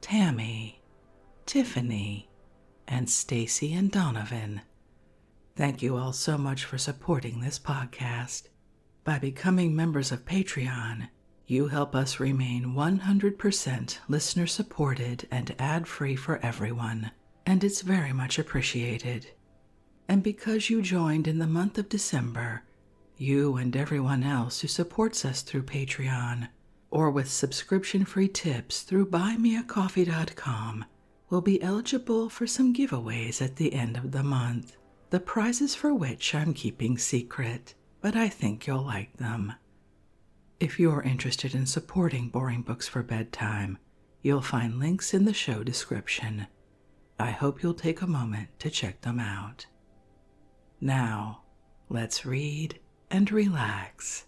Tammy, Tiffany, and Stacy and Donovan. Thank you all so much for supporting this podcast. By becoming members of Patreon, you help us remain 100% listener supported and ad free for everyone, and it's very much appreciated. And because you joined in the month of December, you and everyone else who supports us through Patreon or with subscription free tips through buymeacoffee.com will be eligible for some giveaways at the end of the month, the prizes for which I'm keeping secret, but I think you'll like them. If you're interested in supporting Boring Books for Bedtime, you'll find links in the show description. I hope you'll take a moment to check them out. Now, let's read and relax.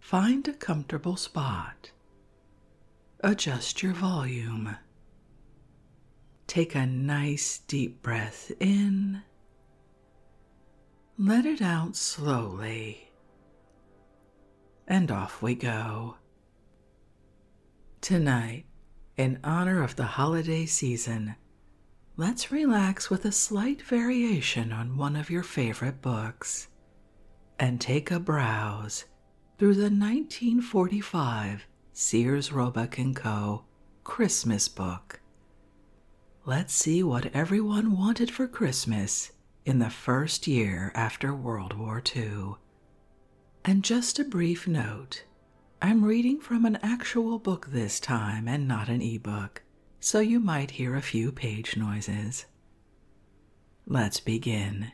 Find a comfortable spot. Adjust your volume. Take a nice deep breath in. Let it out slowly. And off we go. Tonight, in honor of the holiday season, Let's relax with a slight variation on one of your favorite books and take a browse through the 1945 Sears Roebuck & Co. Christmas book. Let's see what everyone wanted for Christmas in the first year after World War II. And just a brief note I'm reading from an actual book this time and not an e-book so you might hear a few page noises. Let's begin.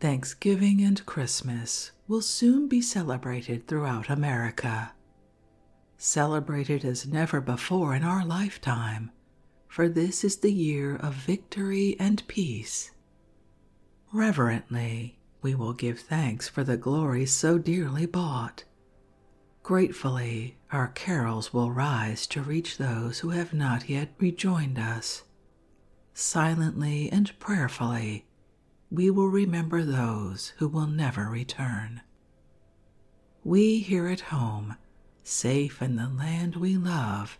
Thanksgiving and Christmas will soon be celebrated throughout America. Celebrated as never before in our lifetime, for this is the year of victory and peace. Reverently, we will give thanks for the glory so dearly bought, Gratefully, our carols will rise to reach those who have not yet rejoined us. Silently and prayerfully, we will remember those who will never return. We here at home, safe in the land we love,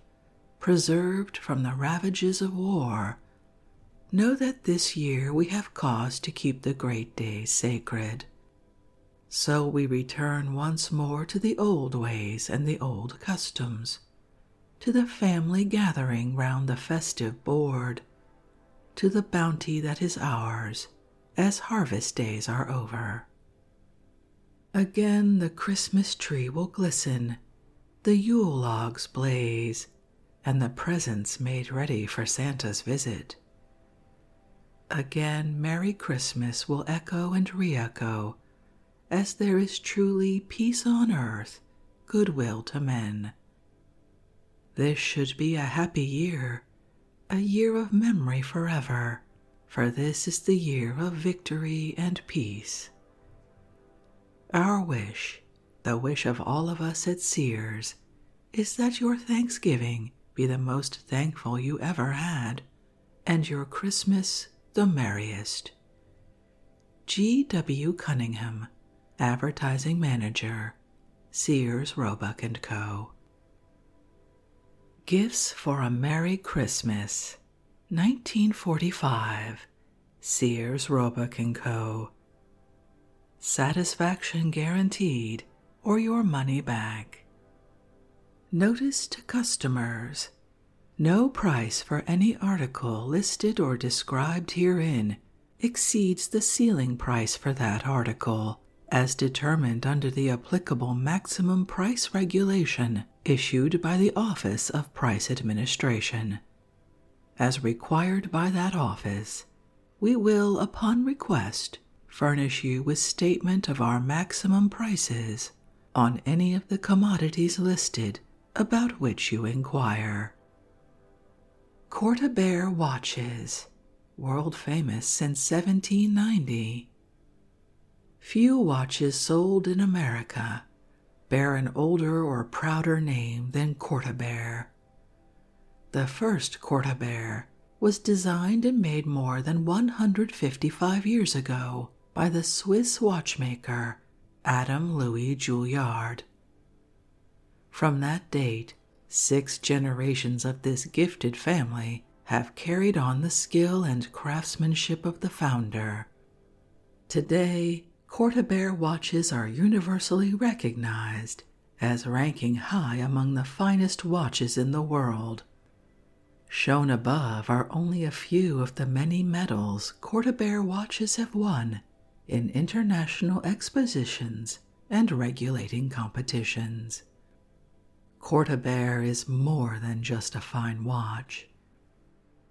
preserved from the ravages of war Know that this year we have cause to keep the great day sacred. So we return once more to the old ways and the old customs, to the family gathering round the festive board, to the bounty that is ours as harvest days are over. Again the Christmas tree will glisten, the Yule logs blaze, and the presents made ready for Santa's visit. Again, Merry Christmas will echo and re echo, as there is truly peace on earth, goodwill to men. This should be a happy year, a year of memory forever, for this is the year of victory and peace. Our wish the wish of all of us at Sears is that your Thanksgiving be the most thankful you ever had, and your Christmas the merriest. G. W. Cunningham, Advertising Manager, Sears, Roebuck & Co. Gifts for a Merry Christmas, 1945, Sears, Roebuck & Co satisfaction guaranteed, or your money back. Notice to customers. No price for any article listed or described herein exceeds the ceiling price for that article, as determined under the applicable maximum price regulation issued by the Office of Price Administration. As required by that office, we will, upon request, furnish you with statement of our maximum prices on any of the commodities listed about which you inquire. Corta watches, world famous since 1790. Few watches sold in America bear an older or prouder name than Corta the first Cortabert was designed and made more than 155 years ago by the Swiss watchmaker Adam Louis Julliard. From that date, six generations of this gifted family have carried on the skill and craftsmanship of the founder. Today, Cortabert watches are universally recognized as ranking high among the finest watches in the world. Shown above are only a few of the many medals Cordaber watches have won in international expositions and regulating competitions. Cordaber is more than just a fine watch.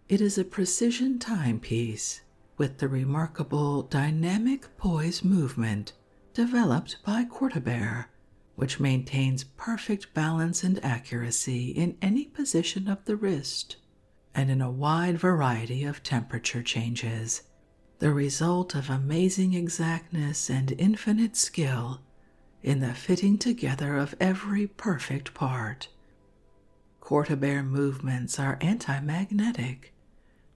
It is a precision timepiece with the remarkable dynamic poise movement developed by Quarterbear, which maintains perfect balance and accuracy in any position of the wrist and in a wide variety of temperature changes, the result of amazing exactness and infinite skill in the fitting together of every perfect part. Quarterbear movements are anti magnetic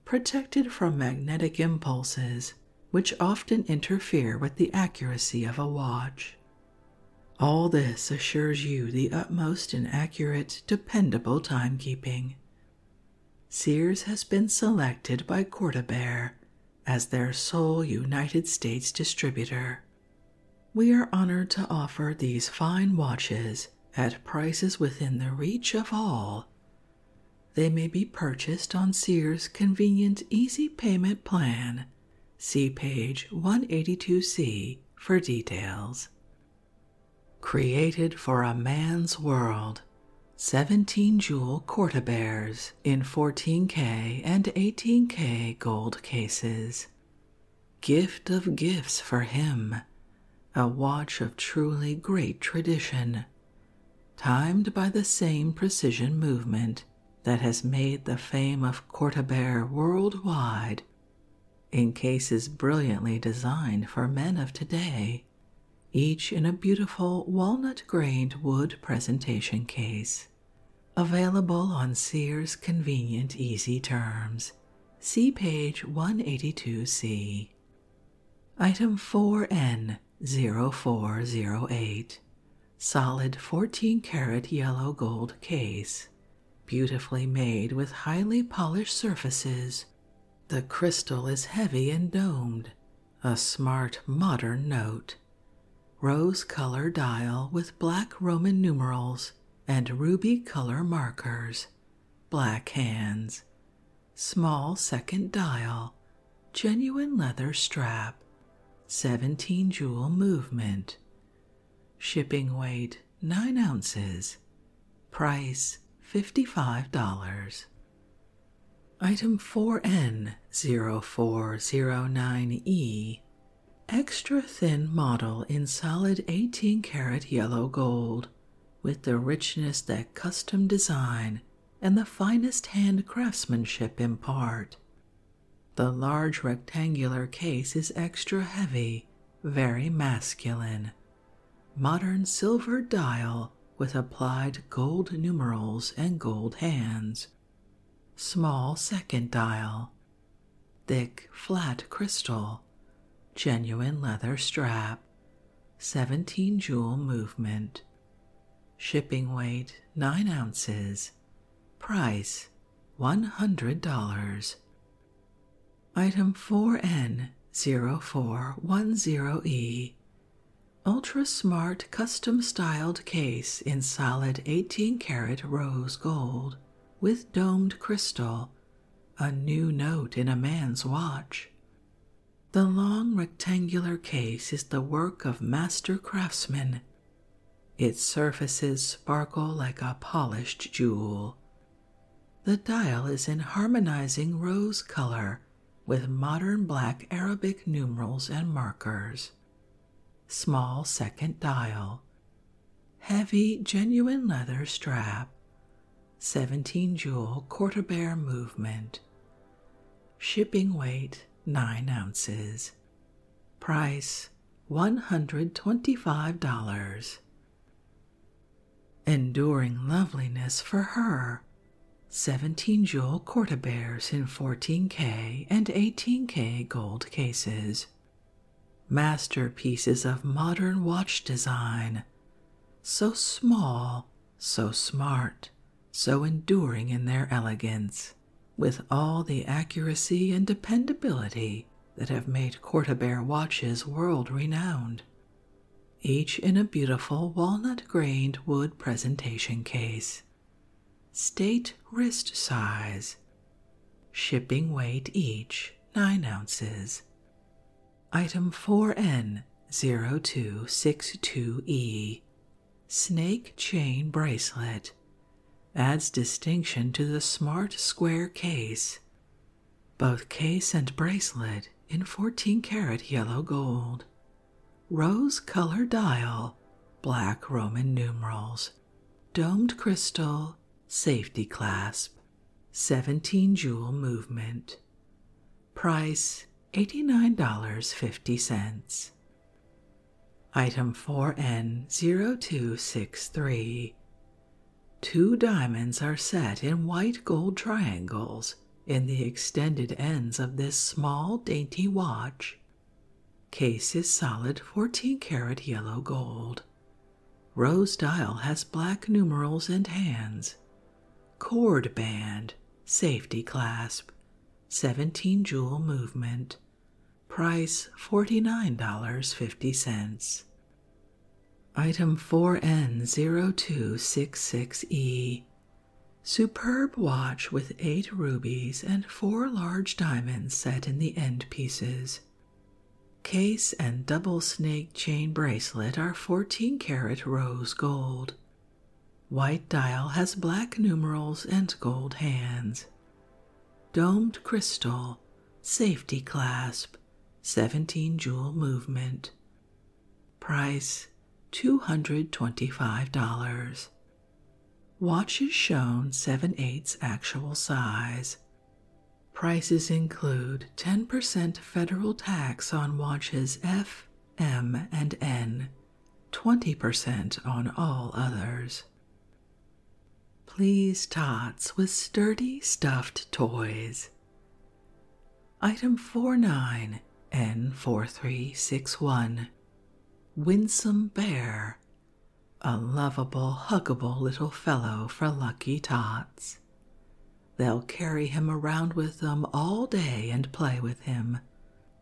protected from magnetic impulses which often interfere with the accuracy of a watch. All this assures you the utmost in accurate, dependable timekeeping. Sears has been selected by Cordabear as their sole United States distributor. We are honored to offer these fine watches at prices within the reach of all they may be purchased on Sears Convenient Easy Payment Plan. See page 182C for details. Created for a man's world. 17 jewel Corta bears in 14K and 18K gold cases. Gift of gifts for him a watch of truly great tradition, timed by the same precision movement that has made the fame of Cortabert worldwide in cases brilliantly designed for men of today, each in a beautiful walnut grained wood presentation case. Available on Sears convenient easy terms. See page 182C. Item 4N0408 Solid 14 karat yellow gold case, beautifully made with highly polished surfaces. The crystal is heavy and domed, a smart modern note. Rose color dial with black Roman numerals and ruby color markers, black hands, small second dial, genuine leather strap, 17 jewel movement, shipping weight 9 ounces, price $55. Item 4N0409E Extra thin model in solid 18 karat yellow gold, with the richness that custom design and the finest hand craftsmanship impart. The large rectangular case is extra heavy, very masculine. Modern silver dial with applied gold numerals and gold hands. Small second dial. Thick, flat crystal. Genuine leather strap. 17 joule movement. Shipping weight 9 ounces. Price $100. Item 4N0410E Ultra Smart Custom Styled Case in Solid 18 karat Rose Gold with Domed Crystal. A new note in a man's watch. The long rectangular case is the work of master craftsmen. Its surfaces sparkle like a polished jewel. The dial is in harmonizing rose color with modern black Arabic numerals and markers. Small second dial. Heavy genuine leather strap 17 joule quarter bear movement. Shipping weight 9 ounces. Price $125. Enduring Loveliness for Her 17 joule quarter bears in 14K and 18K gold cases. Masterpieces of modern watch design. So small so smart, so enduring in their elegance, with all the accuracy and dependability that have made Cortabert watches world renowned. Each in a beautiful walnut grained wood presentation case. State wrist size. Shipping weight each nine ounces. Item 4N0262E Snake Chain Bracelet adds distinction to the smart square case. Both case and bracelet in 14 karat yellow gold. Rose color dial, black Roman numerals, domed crystal, safety clasp, 17 jewel movement price $89.50. Item 4N0263. Two diamonds are set in white gold triangles in the extended ends of this small, dainty watch. Case is solid 14 karat yellow gold. Rose dial has black numerals and hands Cord band, safety clasp, 17 jewel movement, price $49.50. Item 4 n zero two six six e Superb watch with eight rubies and four large diamonds set in the end pieces. Case and double snake chain bracelet are 14 karat rose gold. White dial has black numerals and gold hands. Domed crystal, safety clasp, 17 jewel movement. Price $225. Watch is shown 7 8 actual size. Prices include 10% federal tax on watches F, M, and N, 20% on all others. Please tots with sturdy stuffed toys. Item 49 N4361 Winsome Bear, a lovable, huggable little fellow for lucky tots. They'll carry him around with them all day and play with him.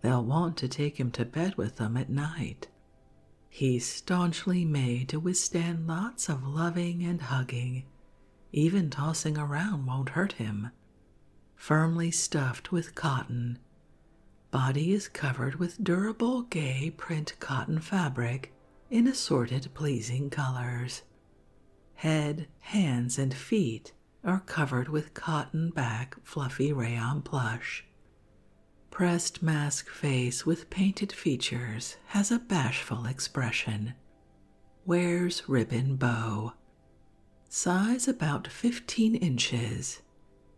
They'll want to take him to bed with them at night. He's staunchly made to withstand lots of loving and hugging. Even tossing around won't hurt him. Firmly stuffed with cotton. Body is covered with durable, gay print cotton fabric in assorted, pleasing colors. Head, hands, and feet are covered with cotton back fluffy rayon plush. Pressed mask face with painted features has a bashful expression. Wears ribbon bow. Size about 15 inches.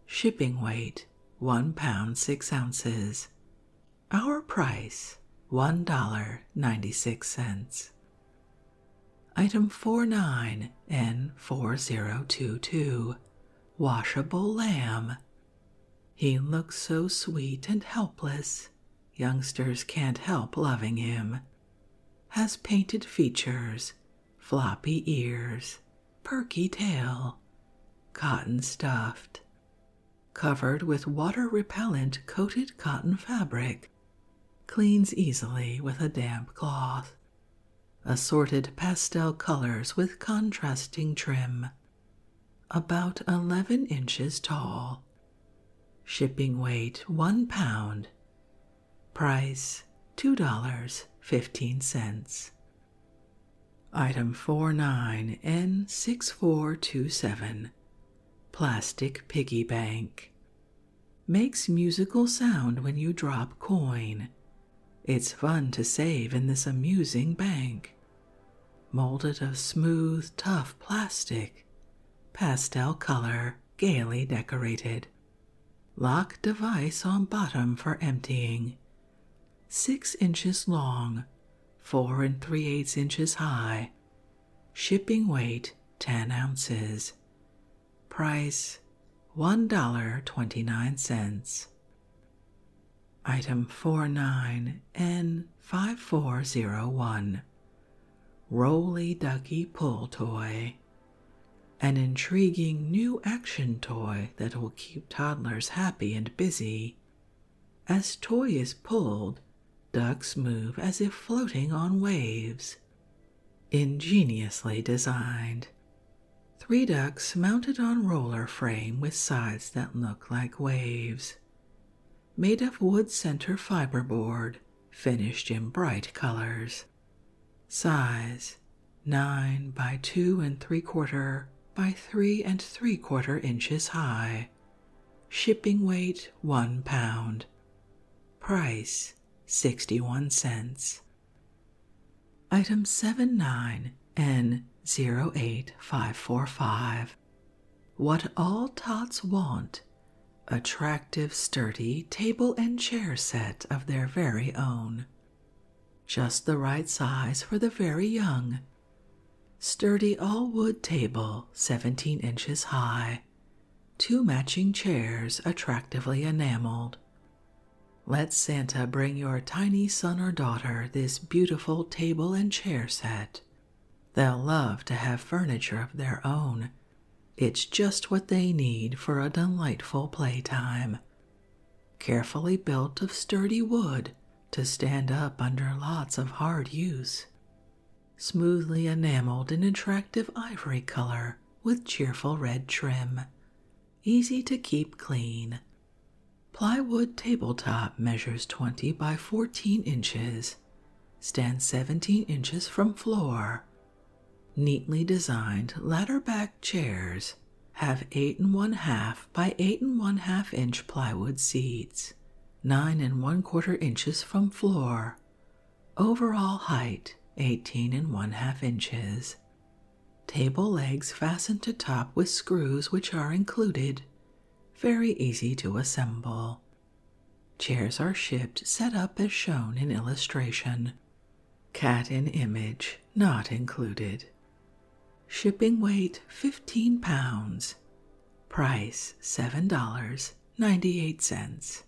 Shipping weight 1 pound 6 ounces. Our price $1.96. Item 49 n 4022 Washable Lamb. He looks so sweet and helpless. Youngsters can't help loving him. Has painted features, floppy ears, perky tail, cotton stuffed, covered with water repellent coated cotton fabric, Cleans easily with a damp cloth. Assorted pastel colors with contrasting trim. About 11 inches tall. Shipping weight 1 pound. Price $2.15. Item 49N6427 Plastic Piggy Bank. Makes musical sound when you drop coin. It's fun to save in this amusing bank. Molded of smooth, tough plastic, pastel color, gaily decorated. Lock device on bottom for emptying. Six inches long, four and three eighths inches high, Shipping weight 10 ounces. Price $1.29. Item 49N5401 Roly Ducky Pull Toy. An intriguing new action toy that will keep toddlers happy and busy. As toy is pulled, Ducks move as if floating on waves. Ingeniously designed. Three ducks mounted on roller frame with sides that look like waves. Made of wood center fiberboard, finished in bright colors. Size 9 by 2 and 3 quarter by 3 and 3 quarter inches high Shipping weight 1 pound. Price 61 cents. Item seven nine n 8545 What all tots want attractive, sturdy table and chair set of their very own. Just the right size for the very young. Sturdy all wood table, 17 inches high, Two matching chairs attractively enameled. Let Santa bring your tiny son or daughter this beautiful table and chair set. They'll love to have furniture of their own. It's just what they need for a delightful playtime. Carefully built of sturdy wood to stand up under lots of hard use smoothly enameled in attractive ivory color with cheerful red trim. Easy to keep clean. Plywood tabletop measures 20 by 14 inches, stands 17 inches from floor. Neatly designed ladder back chairs have 8 and 1 half by 8 and 1 half inch plywood seats, 9 and 1 quarter inches from floor, Overall height 18 and 1 half inches. Table legs fastened to top with screws which are included. Very easy to assemble. Chairs are shipped set up as shown in illustration. Cat in image not included. Shipping weight 15 pounds. Price $7.98.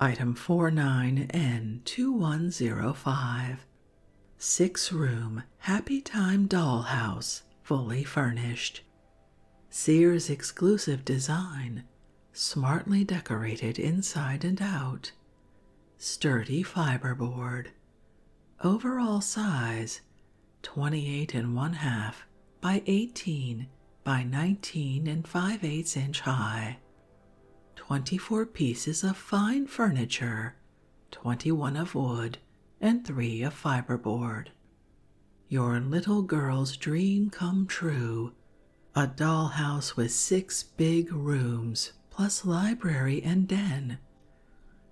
Item 49N2105 Six room Happy Time Doll House, fully furnished. Sears exclusive design, smartly decorated inside and out. Sturdy fiberboard. Overall size 28 and one half by 18 by 19 and 5 eighths inch high, 24 pieces of fine furniture, 21 of wood, and 3 of fiberboard. Your little girl's dream come true a doll house with six big rooms, plus library and den.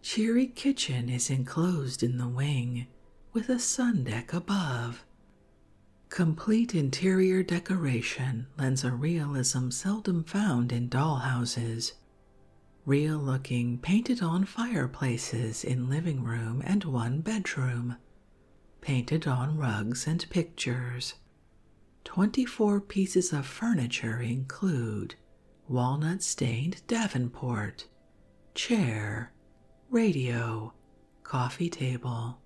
Cheery kitchen is enclosed in the wing with a sun deck above Complete interior decoration lends a realism seldom found in dollhouses. Real looking painted on fireplaces in living room and one bedroom, painted on rugs and pictures. 24 pieces of furniture include walnut stained davenport, chair, radio, coffee table,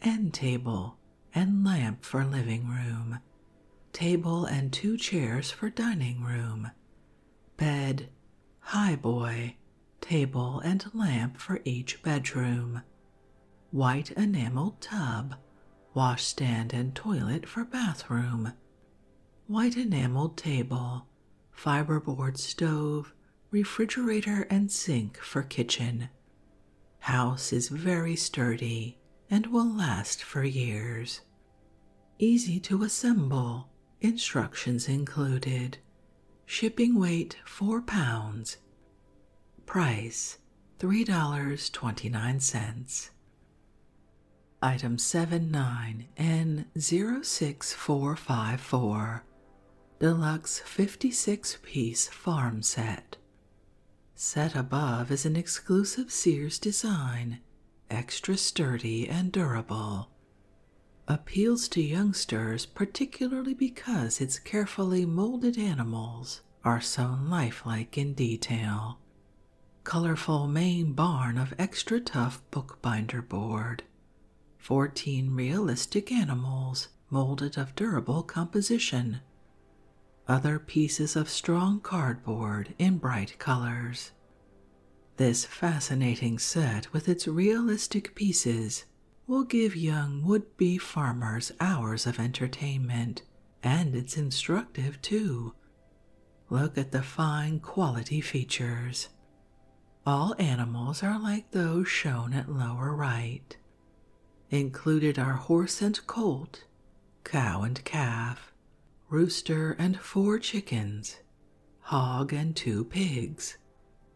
end table, and lamp for living room, table and two chairs for dining room, bed, highboy, table and lamp for each bedroom, white enameled tub, washstand and toilet for bathroom, white enameled table, fiberboard stove, refrigerator and sink for kitchen. House is very sturdy and will last for years. Easy to assemble, instructions included. Shipping weight 4 pounds. Price $3.29. Item seven nine n 6454 deluxe 56 piece farm set. Set above is an exclusive Sears design, extra sturdy and durable. Appeals to youngsters particularly because its carefully molded animals are so lifelike in detail. Colorful main barn of extra tough bookbinder board 14 realistic animals molded of durable composition, other pieces of strong cardboard in bright colors. This fascinating set with its realistic pieces will give young would be farmers hours of entertainment, and it's instructive too. Look at the fine quality features, all animals are like those shown at lower right. Included are horse and colt, cow and calf, rooster and four chickens, hog and two pigs,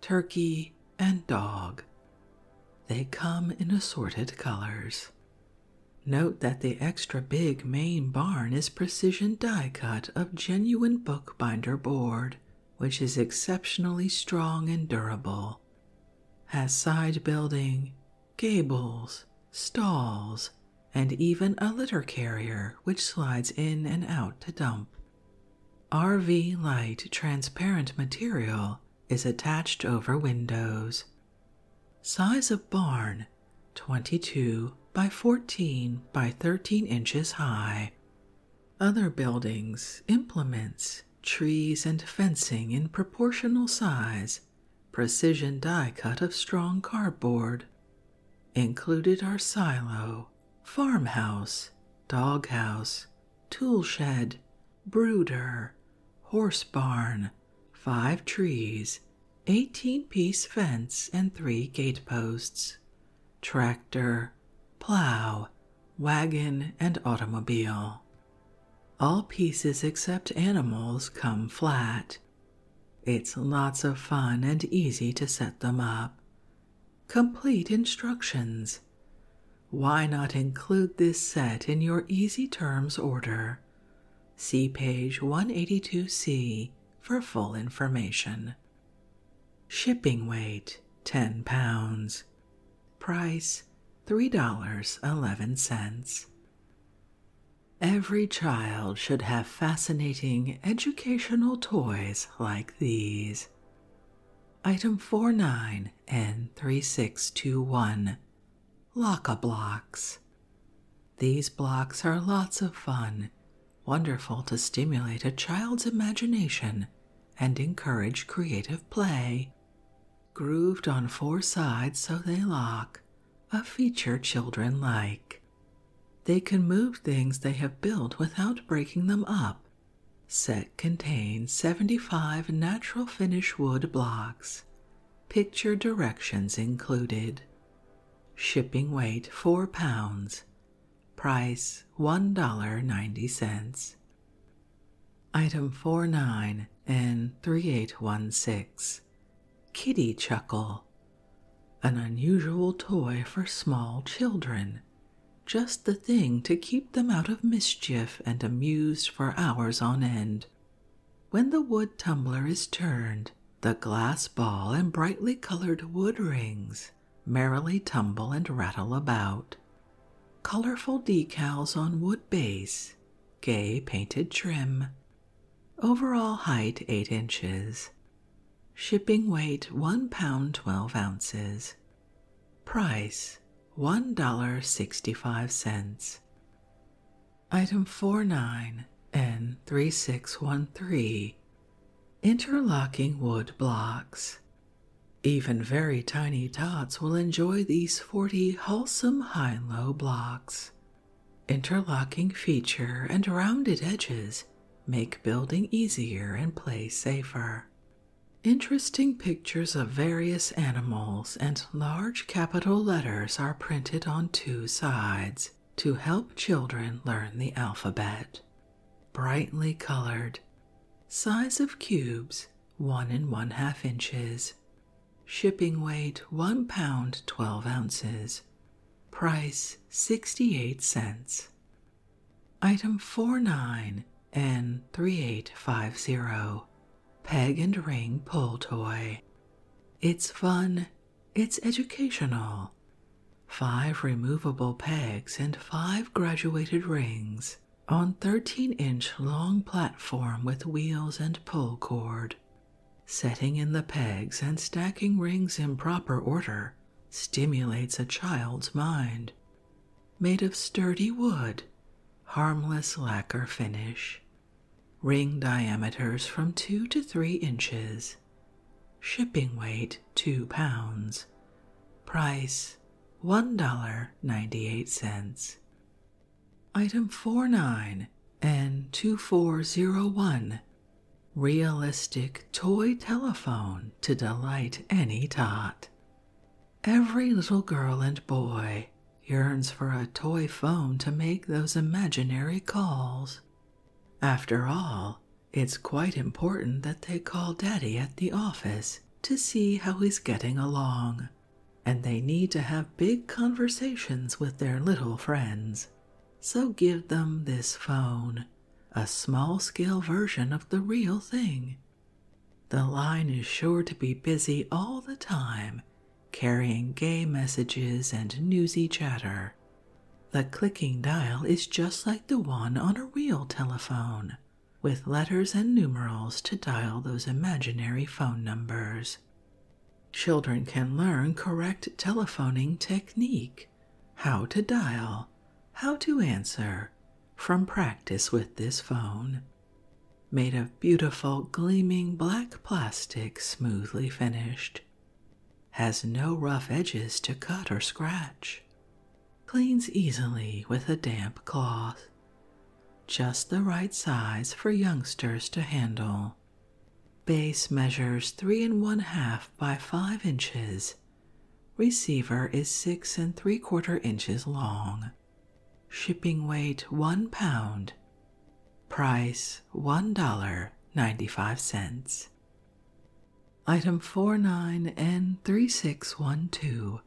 turkey and dog. They come in assorted colors. Note that the extra big main barn is precision die cut of genuine bookbinder board which is exceptionally strong and durable, has side building, gables, stalls, and even a litter carrier which slides in and out to dump. RV light transparent material is attached over windows. Size of barn 22 by 14 by 13 inches high, other buildings, implements, trees, and fencing in proportional size, precision die cut of strong cardboard. Included are silo, farmhouse, doghouse, tool shed, brooder, horse barn, five trees, 18 piece fence, and three gate posts, tractor, plow, wagon, and automobile. All pieces except animals come flat. It's lots of fun and easy to set them up. Complete instructions. Why not include this set in your Easy Terms order? See page 182C for full information. Shipping weight 10 pounds. Price $3.11. Every child should have fascinating educational toys like these. Item four nine and 3621 Lock Blocks. These blocks are lots of fun wonderful to stimulate a child's imagination and encourage creative play. Grooved on four sides so they lock, a feature children like. They can move things they have built without breaking them up. Set contains 75 natural finish wood blocks, picture directions included. Shipping weight 4 pounds, Price $1.90. Item 49 and 3816. Kitty Chuckle. An unusual toy for small children. Just the thing to keep them out of mischief and amused for hours on end. When the wood tumbler is turned, the glass ball and brightly colored wood rings merrily tumble and rattle about. Colorful decals on wood base, gay painted trim. Overall height 8 inches. Shipping weight 1 pound 12 ounces. Price $1.65. Item 49N3613 Interlocking wood blocks. Even very tiny tots will enjoy these 40 wholesome high low blocks. Interlocking feature and rounded edges make building easier and play safer. Interesting pictures of various animals and large capital letters are printed on two sides to help children learn the alphabet brightly colored, size of cubes one and one half inches, shipping weight one pound twelve ounces, price sixty eight cents. Item four nine n 3850 Peg and Ring Pull Toy. It's fun, it's educational, five removable pegs, and five graduated rings on 13 inch long platform with wheels and pull cord. Setting in the pegs and stacking rings in proper order stimulates a child's mind. Made of sturdy wood, harmless lacquer finish. Ring diameters from 2 to 3 inches. Shipping weight 2 pounds. Price $1.98. Item 49 n 2401 Realistic Toy Telephone to Delight Any Tot. Every little girl and boy yearns for a toy phone to make those imaginary calls. After all, it's quite important that they call Daddy at the office to see how he's getting along, and they need to have big conversations with their little friends. So give them this phone, a small scale version of the real thing. The line is sure to be busy all the time, carrying gay messages and newsy chatter. The clicking dial is just like the one on a real telephone, with letters and numerals to dial those imaginary phone numbers. Children can learn correct telephoning technique, how to dial, how to answer, from practice with this phone. Made of beautiful, gleaming black plastic, smoothly finished. Has no rough edges to cut or scratch. Cleans easily with a damp cloth, just the right size for youngsters to handle. Base measures three and one half by five inches. Receiver is six and three quarter inches long. Shipping weight one pound. Price one dollar ninety five cents. Item 49 n 3612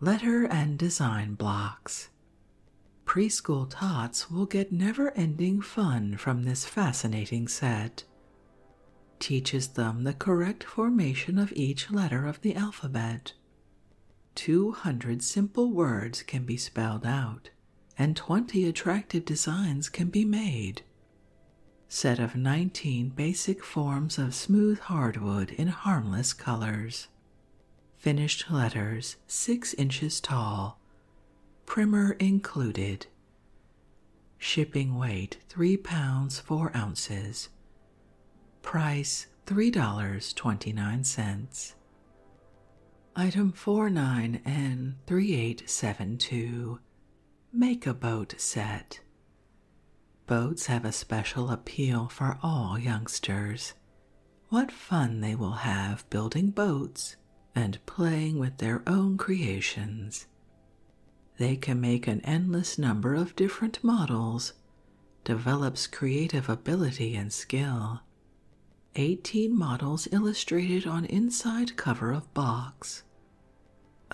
Letter and Design Blocks. Preschool tots will get never ending fun from this fascinating set. Teaches them the correct formation of each letter of the alphabet. 200 simple words can be spelled out, and 20 attractive designs can be made Set of 19 basic forms of smooth hardwood in harmless colors. Finished letters 6 inches tall. Primer included. Shipping weight 3 pounds 4 ounces. Price $3.29. Item 49N3872 Make a Boat Set Boats have a special appeal for all youngsters. What fun they will have building boats and playing with their own creations. They can make an endless number of different models, develops creative ability and skill. 18 models illustrated on inside cover of box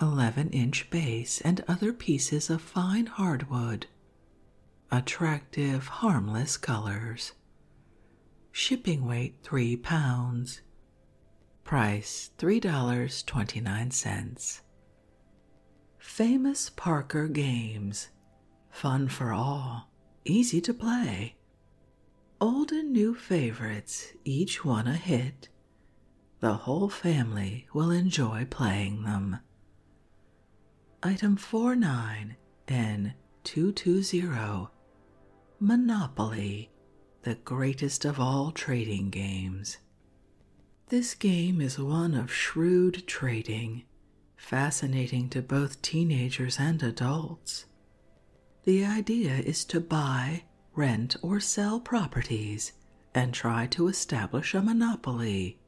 11 inch base, and other pieces of fine hardwood. Attractive, harmless colors. Shipping weight 3 pounds. Price $3.29. Famous Parker Games. Fun for all. Easy to play. Old and new favorites, each one a hit. The whole family will enjoy playing them. Item four nine n 220 Monopoly, the greatest of all trading games. This game is one of shrewd trading, fascinating to both teenagers and adults. The idea is to buy rent, or sell properties and try to establish a monopoly.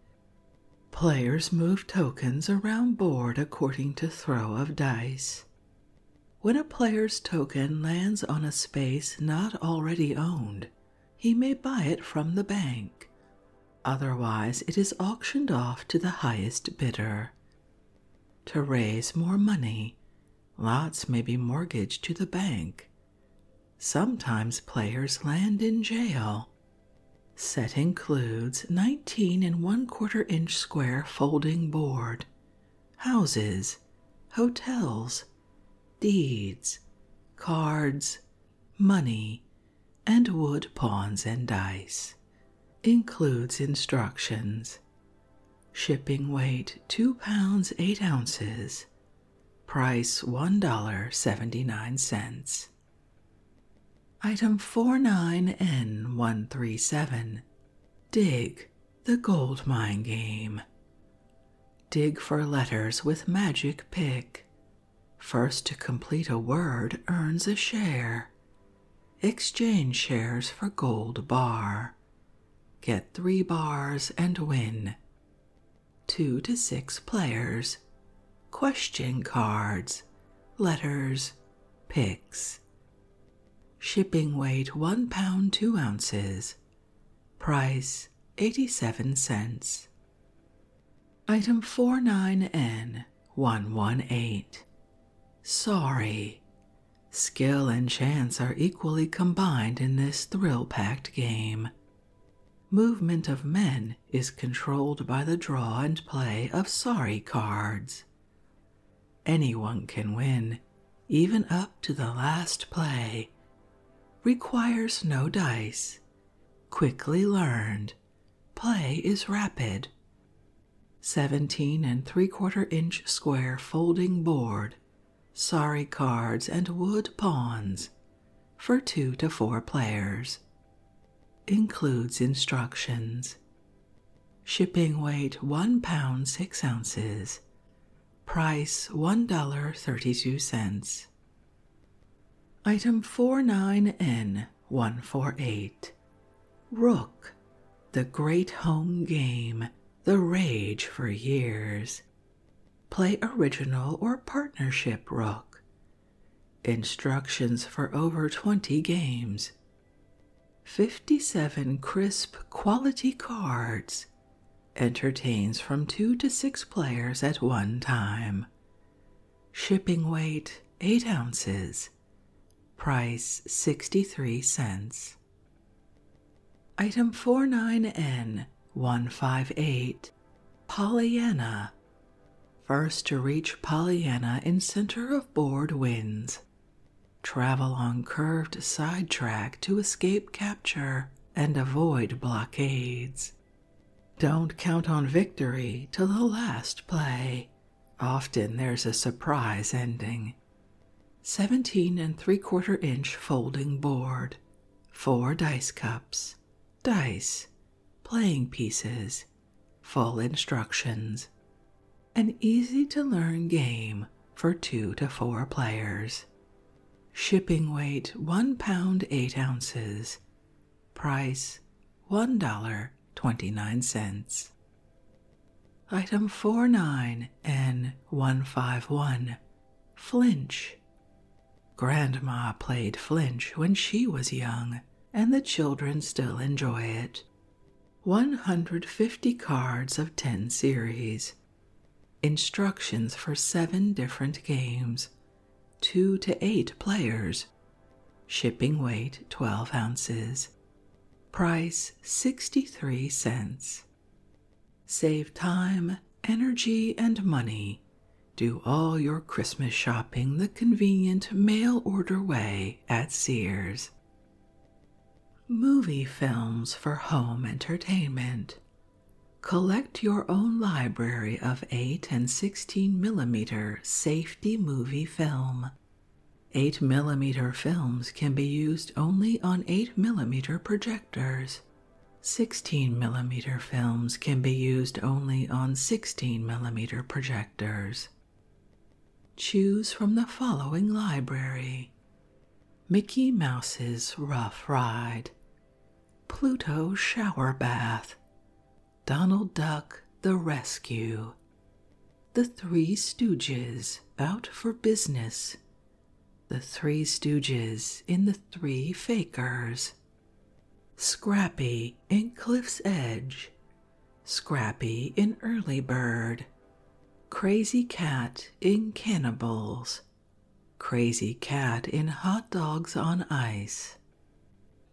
Players move tokens around board according to throw of dice. When a player's token lands on a space not already owned, he may buy it from the bank. Otherwise, it is auctioned off to the highest bidder. To raise more money, lots may be mortgaged to the bank Sometimes players land in jail. Set includes 19 and 1 quarter inch square folding board, houses, hotels, deeds, cards, money, and wood pawns and dice. Includes instructions. Shipping weight 2 pounds 8 ounces, Price $1.79. Item 49N137. Dig the Gold Mine Game. Dig for letters with magic pick. First to complete a word earns a share. Exchange shares for gold bar. Get three bars and win two to six players, question cards, letters, picks. Shipping weight one pound two ounces. Price 87 cents. Item 49N118. Sorry. Skill and chance are equally combined in this thrill packed game. Movement of men is controlled by the draw and play of sorry cards. Anyone can win, even up to the last play. Requires no dice. Quickly learned. Play is rapid. 17 and 3 quarter inch square folding board sorry cards, and wood pawns for two to four players. Includes instructions. Shipping weight 1 pound 6 ounces. Price $1.32. Item four nine n 148 Rook, the great home game, the rage for years, Play original or partnership rook. Instructions for over 20 games. 57 crisp quality cards. Entertains from 2 to 6 players at one time. Shipping weight 8 ounces. Price 63 cents. Item four nine n 158 Pollyanna. First to reach Pollyanna in center of board wins. Travel on curved side track to escape capture and avoid blockades. Don't count on victory till the last play. Often there's a surprise ending. 17 and 3 quarter inch folding board Four dice cups, dice, playing pieces, full instructions. An easy to learn game for two to four players. Shipping weight one pound eight ounces. Price $1.29. Item 49 n 151 Flinch Grandma played flinch when she was young, and the children still enjoy it. 150 cards of 10 series. Instructions for 7 different games. 2 to 8 players. Shipping weight 12 ounces. Price 63 cents. Save time, energy, and money. Do all your Christmas shopping the convenient mail order way at Sears. Movie films for home entertainment. Collect your own library of 8 and 16 millimeter safety movie film. 8 millimeter films can be used only on 8 millimeter projectors 16mm films can be used only on 16mm projectors. Choose from the following library Mickey Mouse's Rough Ride, Pluto's Shower Bath, Donald Duck The Rescue, The Three Stooges Out for Business the Three Stooges in The Three Fakers, Scrappy in Cliff's Edge, Scrappy in Early Bird, Crazy Cat in Cannibals, Crazy Cat in Hot Dogs on Ice,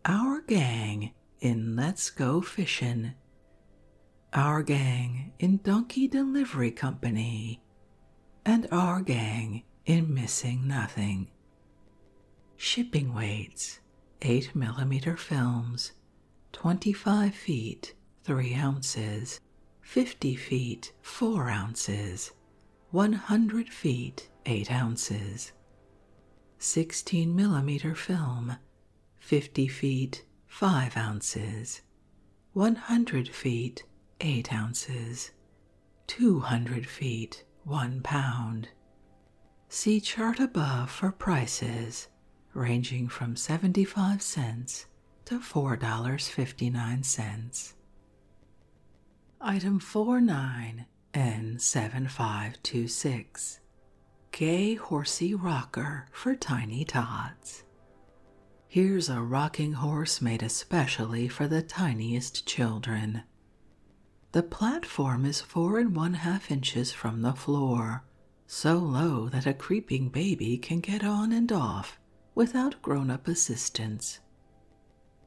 Our Gang in Let's Go Fishing, Our Gang in Donkey Delivery Company and our gang in missing nothing. Shipping weights 8 millimeter films, 25 feet 3 ounces, 50 feet 4 ounces, 100 feet 8 ounces. 16 millimeter film, 50 feet 5 ounces, 100 feet, 8 ounces. 200 feet, 1 pound. See chart above for prices ranging from 75 cents to $4.59. Item 49 N7526 Gay Horsey Rocker for Tiny Tots. Here's a rocking horse made especially for the tiniest children. The platform is four and one half inches from the floor, so low that a creeping baby can get on and off without grown up assistance.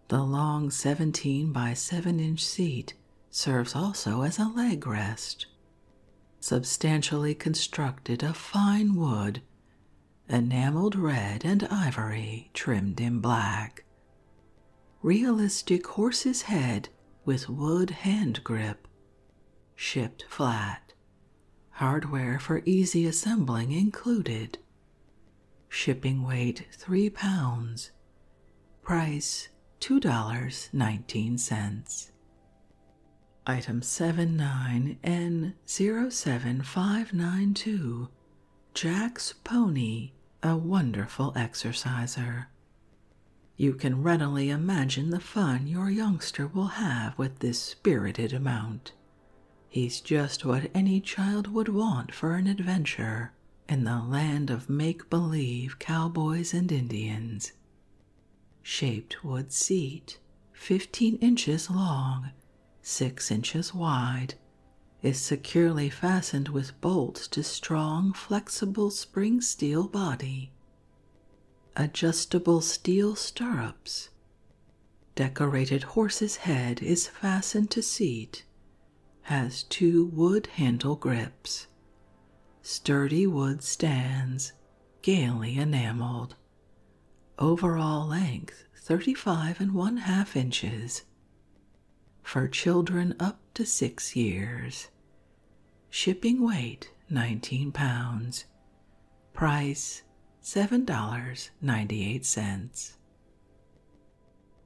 The long 17 by 7 inch seat serves also as a leg rest, substantially constructed of fine wood enameled red and ivory trimmed in black. Realistic horse's head with wood hand grip, shipped flat. Hardware for easy assembling included. Shipping weight 3 pounds. Price $2.19. Item 79N07592 Jack's pony, a wonderful exerciser. You can readily imagine the fun your youngster will have with this spirited mount. He's just what any child would want for an adventure in the land of make believe cowboys and Indians. Shaped wood seat, 15 inches long six inches wide, is securely fastened with bolts to strong, flexible spring steel body. Adjustable steel stirrups. Decorated horse's head is fastened to seat, has two wood handle grips. Sturdy wood stands, gaily enameled. Overall length 35 and 1 2 inches. For children up to 6 years. Shipping weight 19 pounds. Price $7.98.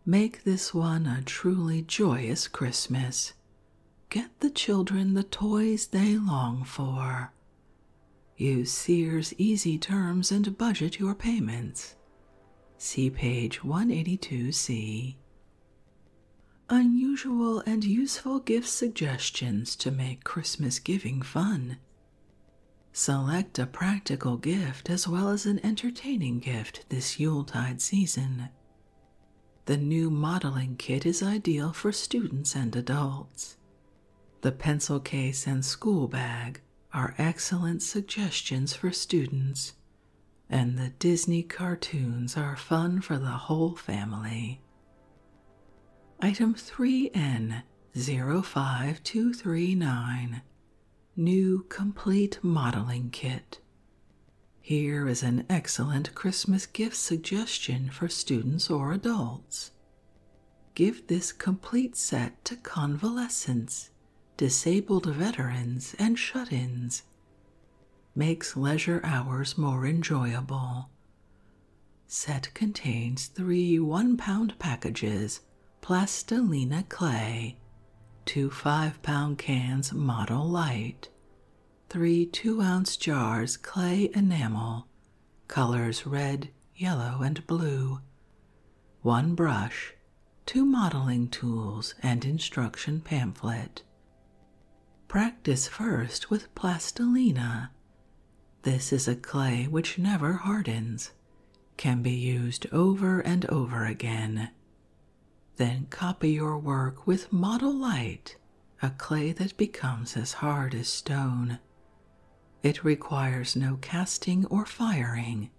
Make this one a truly joyous Christmas. Get the children the toys they long for Use Sears Easy Terms and budget your payments. See page 182C. Unusual and useful gift suggestions to make Christmas giving fun. Select a practical gift as well as an entertaining gift this Yuletide season. The new modeling kit is ideal for students and adults. The pencil case and school bag are excellent suggestions for students, and the Disney cartoons are fun for the whole family. Item 3N05239 New Complete Modeling Kit. Here is an excellent Christmas gift suggestion for students or adults. Give this complete set to convalescents, disabled veterans, and shut ins. Makes leisure hours more enjoyable. Set contains three one pound packages plastilina clay, two five pound cans model light, three two ounce jars clay enamel, colors red, yellow, and blue, one brush, two modeling tools, and instruction pamphlet. Practice first with plastilina. This is a clay which never hardens, can be used over and over again. Then copy your work with model a clay that becomes as hard as stone. It requires no casting or firing.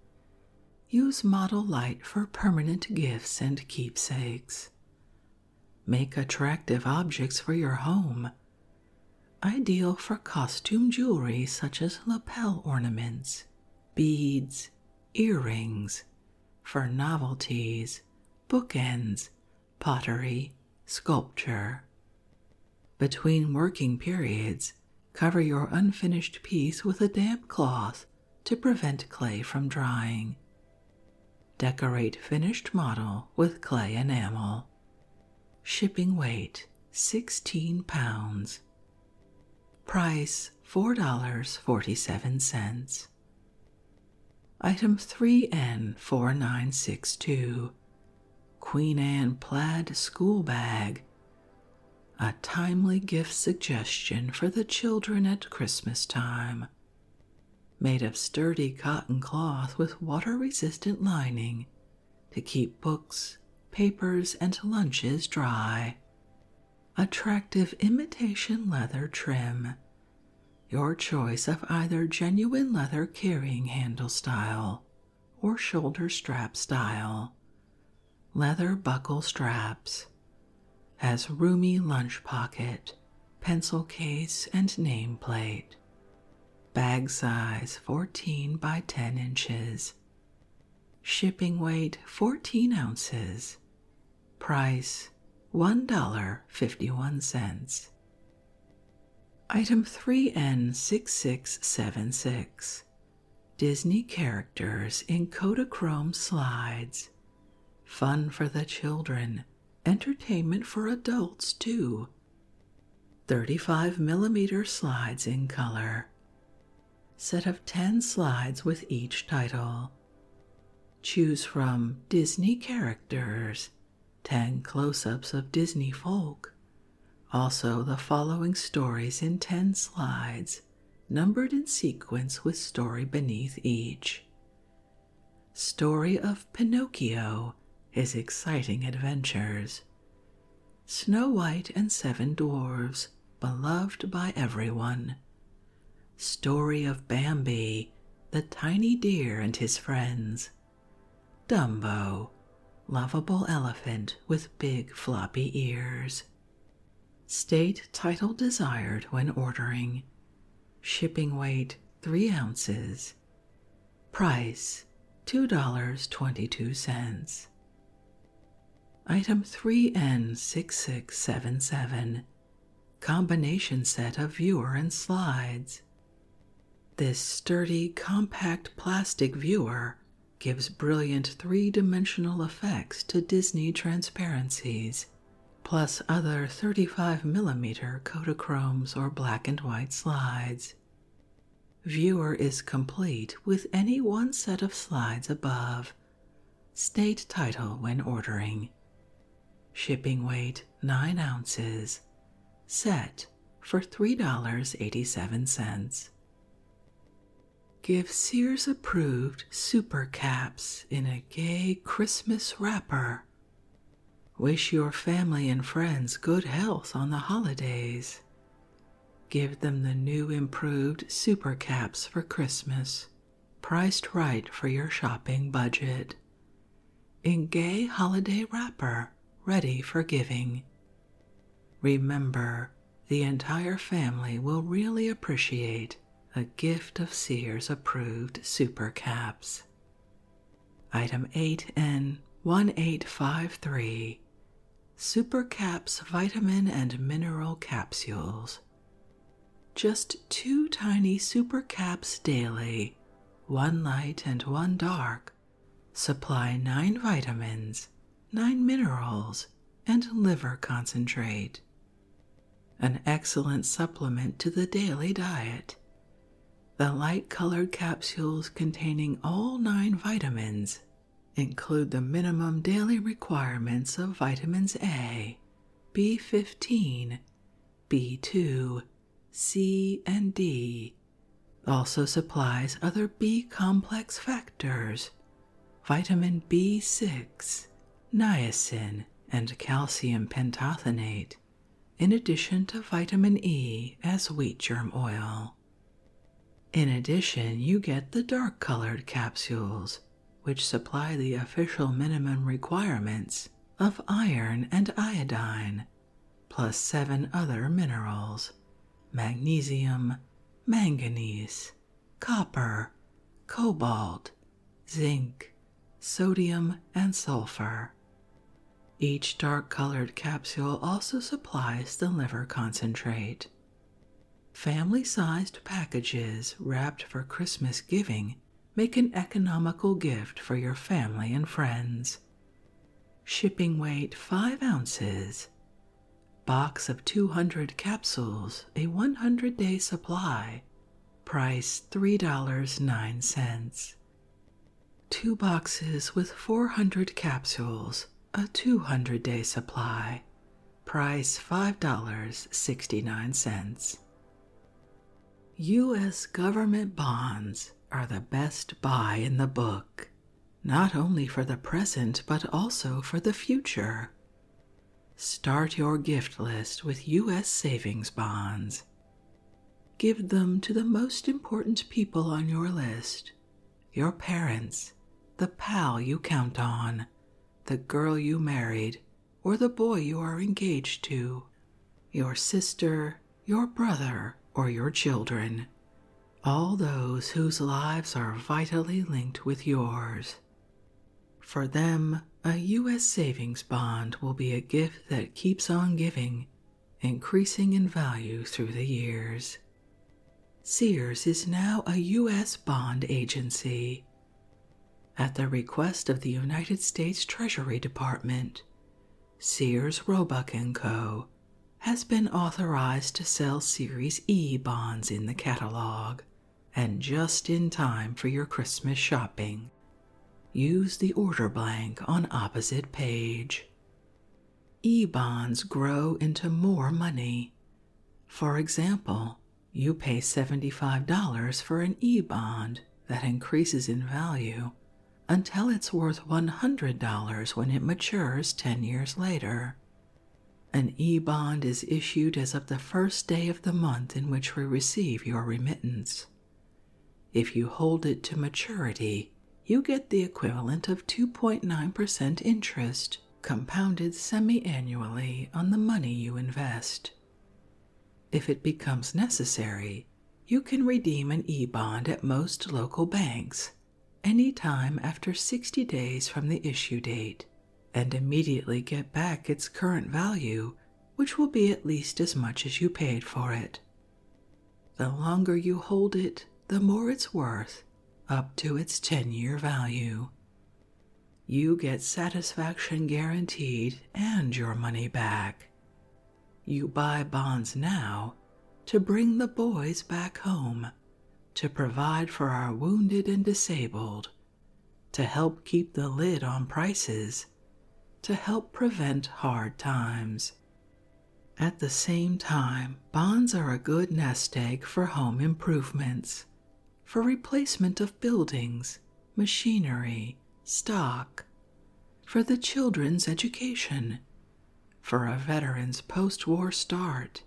Use model light for permanent gifts and keepsakes. Make attractive objects for your home. Ideal for costume jewelry such as lapel ornaments, beads, earrings, for novelties, bookends, pottery, sculpture. Between working periods, Cover your unfinished piece with a damp cloth to prevent clay from drying. Decorate finished model with clay enamel. Shipping weight 16 pounds. Price $4.47. Item 3N4962 Queen Anne plaid school bag, a timely gift suggestion for the children at Christmas time. Made of sturdy cotton cloth with water resistant lining to keep books, papers, and lunches dry. Attractive imitation leather trim. Your choice of either genuine leather carrying handle style or shoulder strap style, leather buckle straps, has roomy lunch pocket, pencil case, and nameplate. Bag size 14 by 10 inches. Shipping weight 14 ounces. Price $1.51. Item 3N6676 Disney characters in Kodachrome slides. Fun for the children, entertainment for adults too. 35 millimeter slides in color. Set of 10 slides with each title. Choose from Disney characters, 10 close ups of Disney folk, also, the following stories in 10 slides, numbered in sequence with story beneath each. Story of Pinocchio, his exciting adventures. Snow White and Seven Dwarfs, beloved by everyone. Story of Bambi, the tiny deer and his friends. Dumbo, lovable elephant with big floppy ears. State title desired when ordering. Shipping weight 3 ounces. Price $2.22. Item 3N6677 Combination set of viewer and slides. This sturdy, compact plastic viewer gives brilliant three dimensional effects to Disney transparencies, plus other 35mm Kodachromes or black and white slides. Viewer is complete with any one set of slides above. State title when ordering. Shipping weight 9 ounces. Set for $3.87. Give Sears approved super caps in a gay Christmas wrapper. Wish your family and friends good health on the holidays. Give them the new improved super caps for Christmas, priced right for your shopping budget. In gay holiday wrapper, ready for giving. Remember, the entire family will really appreciate a gift of Sears approved super caps. Item 8N1853 Super Caps Vitamin and Mineral Capsules. Just two tiny super caps daily, one light and one dark, Supply 9 vitamins, 9 minerals, and liver concentrate. An excellent supplement to the daily diet. The light colored capsules containing all 9 vitamins include the minimum daily requirements of vitamins A, B15, B2, C, and D also supplies other B complex factors, vitamin B6, niacin, and calcium pentothenate, in addition to vitamin E as wheat germ oil. In addition, you get the dark colored capsules, which supply the official minimum requirements of iron and iodine, plus seven other minerals, magnesium, manganese, copper, cobalt, zinc, sodium, and sulfur. Each dark colored capsule also supplies the liver concentrate. Family sized packages wrapped for Christmas giving make an economical gift for your family and friends shipping weight 5 ounces, box of 200 capsules, a 100 day supply, price $3.09. Two boxes with 400 capsules, a 200 day supply, price $5.69. U.S. government bonds are the best buy in the book not only for the present but also for the future. Start your gift list with U.S. savings bonds. Give them to the most important people on your list your parents, the pal you count on, the girl you married, or the boy you are engaged to, your sister, your brother, or your children all those whose lives are vitally linked with yours. For them, a U.S. savings bond will be a gift that keeps on giving, increasing in value through the years. Sears is now a U.S. bond agency. At the request of the United States Treasury Department, Sears Roebuck & Co has been authorized to sell Series E bonds in the catalog, and just in time for your Christmas shopping. Use the order blank on opposite page. E bonds grow into more money. For example, you pay $75 for an E bond that increases in value until it's worth $100 when it matures 10 years later. An e bond is issued as of the first day of the month in which we receive your remittance. If you hold it to maturity, you get the equivalent of 2.9% interest compounded semi annually on the money you invest. If it becomes necessary, you can redeem an e bond at most local banks any time after 60 days from the issue date and immediately get back its current value, which will be at least as much as you paid for it. The longer you hold it, the more it's worth, up to its 10 year value. You get satisfaction guaranteed and your money back. You buy bonds now to bring the boys back home to provide for our wounded and disabled, to help keep the lid on prices, to help prevent hard times. At the same time, bonds are a good nest egg for home improvements, for replacement of buildings, machinery, stock, for the children's education, for a veteran's post war start,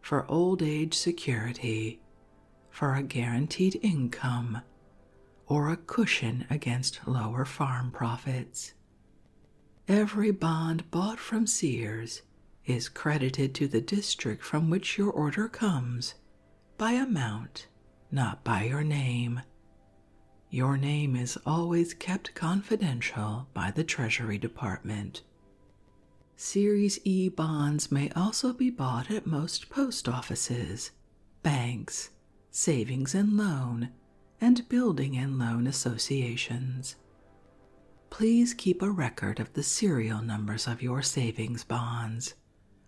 for old age security, for a guaranteed income, or a cushion against lower farm profits. Every bond bought from Sears is credited to the district from which your order comes by amount, not by your name. Your name is always kept confidential by the Treasury Department. Series E bonds may also be bought at most post offices, banks, savings and loan, and building and loan associations. Please keep a record of the serial numbers of your savings bonds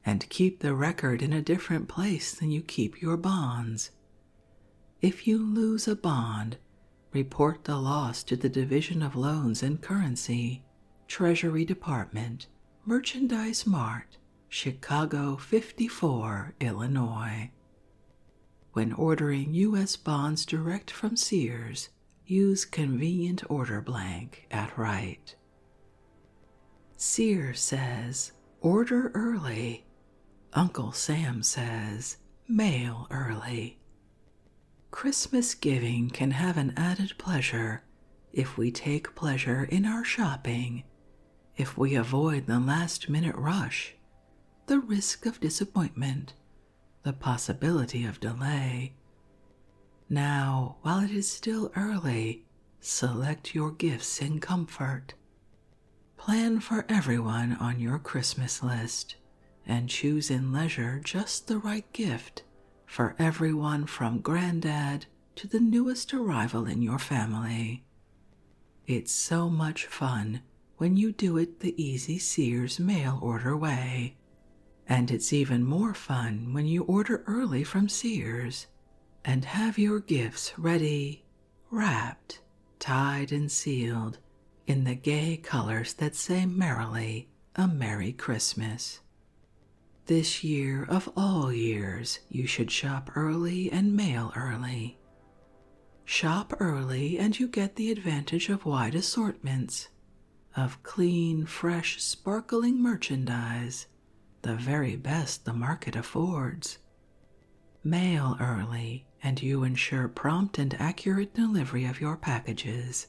and keep the record in a different place than you keep your bonds. If you lose a bond, Report the loss to the Division of Loans and Currency, Treasury Department, Merchandise Mart, Chicago 54, Illinois. When ordering U.S. bonds direct from Sears, use convenient order blank at right. Sears says, order early. Uncle Sam says, mail early. Christmas giving can have an added pleasure if we take pleasure in our shopping, if we avoid the last minute rush, the risk of disappointment, the possibility of delay. Now, while it is still early, select your gifts in comfort. Plan for everyone on your Christmas list and choose in leisure just the right gift for everyone from granddad to the newest arrival in your family. It's so much fun when you do it the easy Sears mail order way. And it's even more fun when you order early from Sears and have your gifts ready, wrapped, tied and sealed in the gay colors that say merrily, A Merry Christmas. This year of all years, you should shop early and mail early. Shop early and you get the advantage of wide assortments of clean, fresh, sparkling merchandise, the very best the market affords. Mail early and you ensure prompt and accurate delivery of your packages.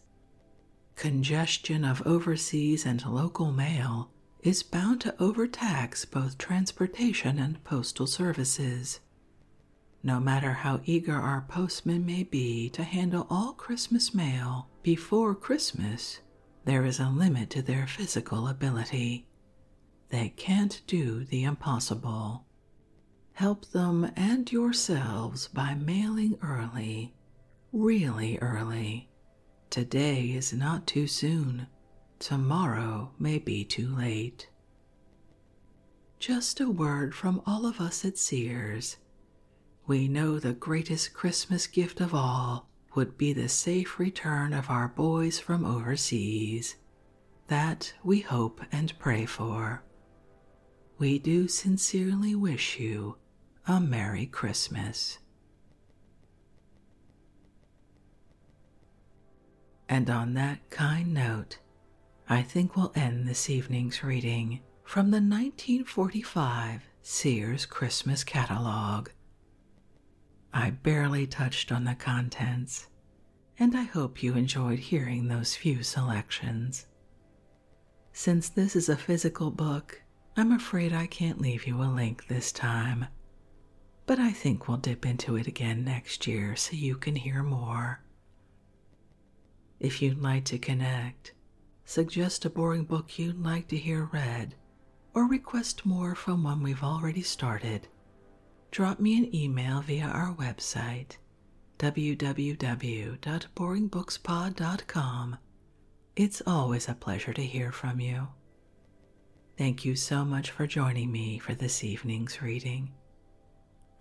Congestion of overseas and local mail is bound to overtax both transportation and postal services. No matter how eager our postmen may be to handle all Christmas mail before Christmas, there is a limit to their physical ability. They can't do the impossible. Help them and yourselves by mailing early, really early. Today is not too soon, tomorrow may be too late. Just a word from all of us at Sears. We know the greatest Christmas gift of all would be the safe return of our boys from overseas, that we hope and pray for. We do sincerely wish you a Merry Christmas. And on that kind note, I think we'll end this evening's reading from the 1945 Sears Christmas Catalog. I barely touched on the contents, and I hope you enjoyed hearing those few selections. Since this is a physical book, I'm afraid I can't leave you a link this time, but I think we'll dip into it again next year so you can hear more. If you'd like to connect, suggest a boring book you'd like to hear read, or request more from one we've already started, drop me an email via our website www.boringbookspod.com. It's always a pleasure to hear from you. Thank you so much for joining me for this evening's reading.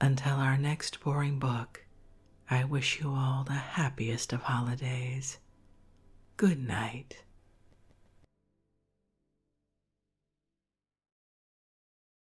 Until our next boring book, I wish you all the happiest of holidays. Good night.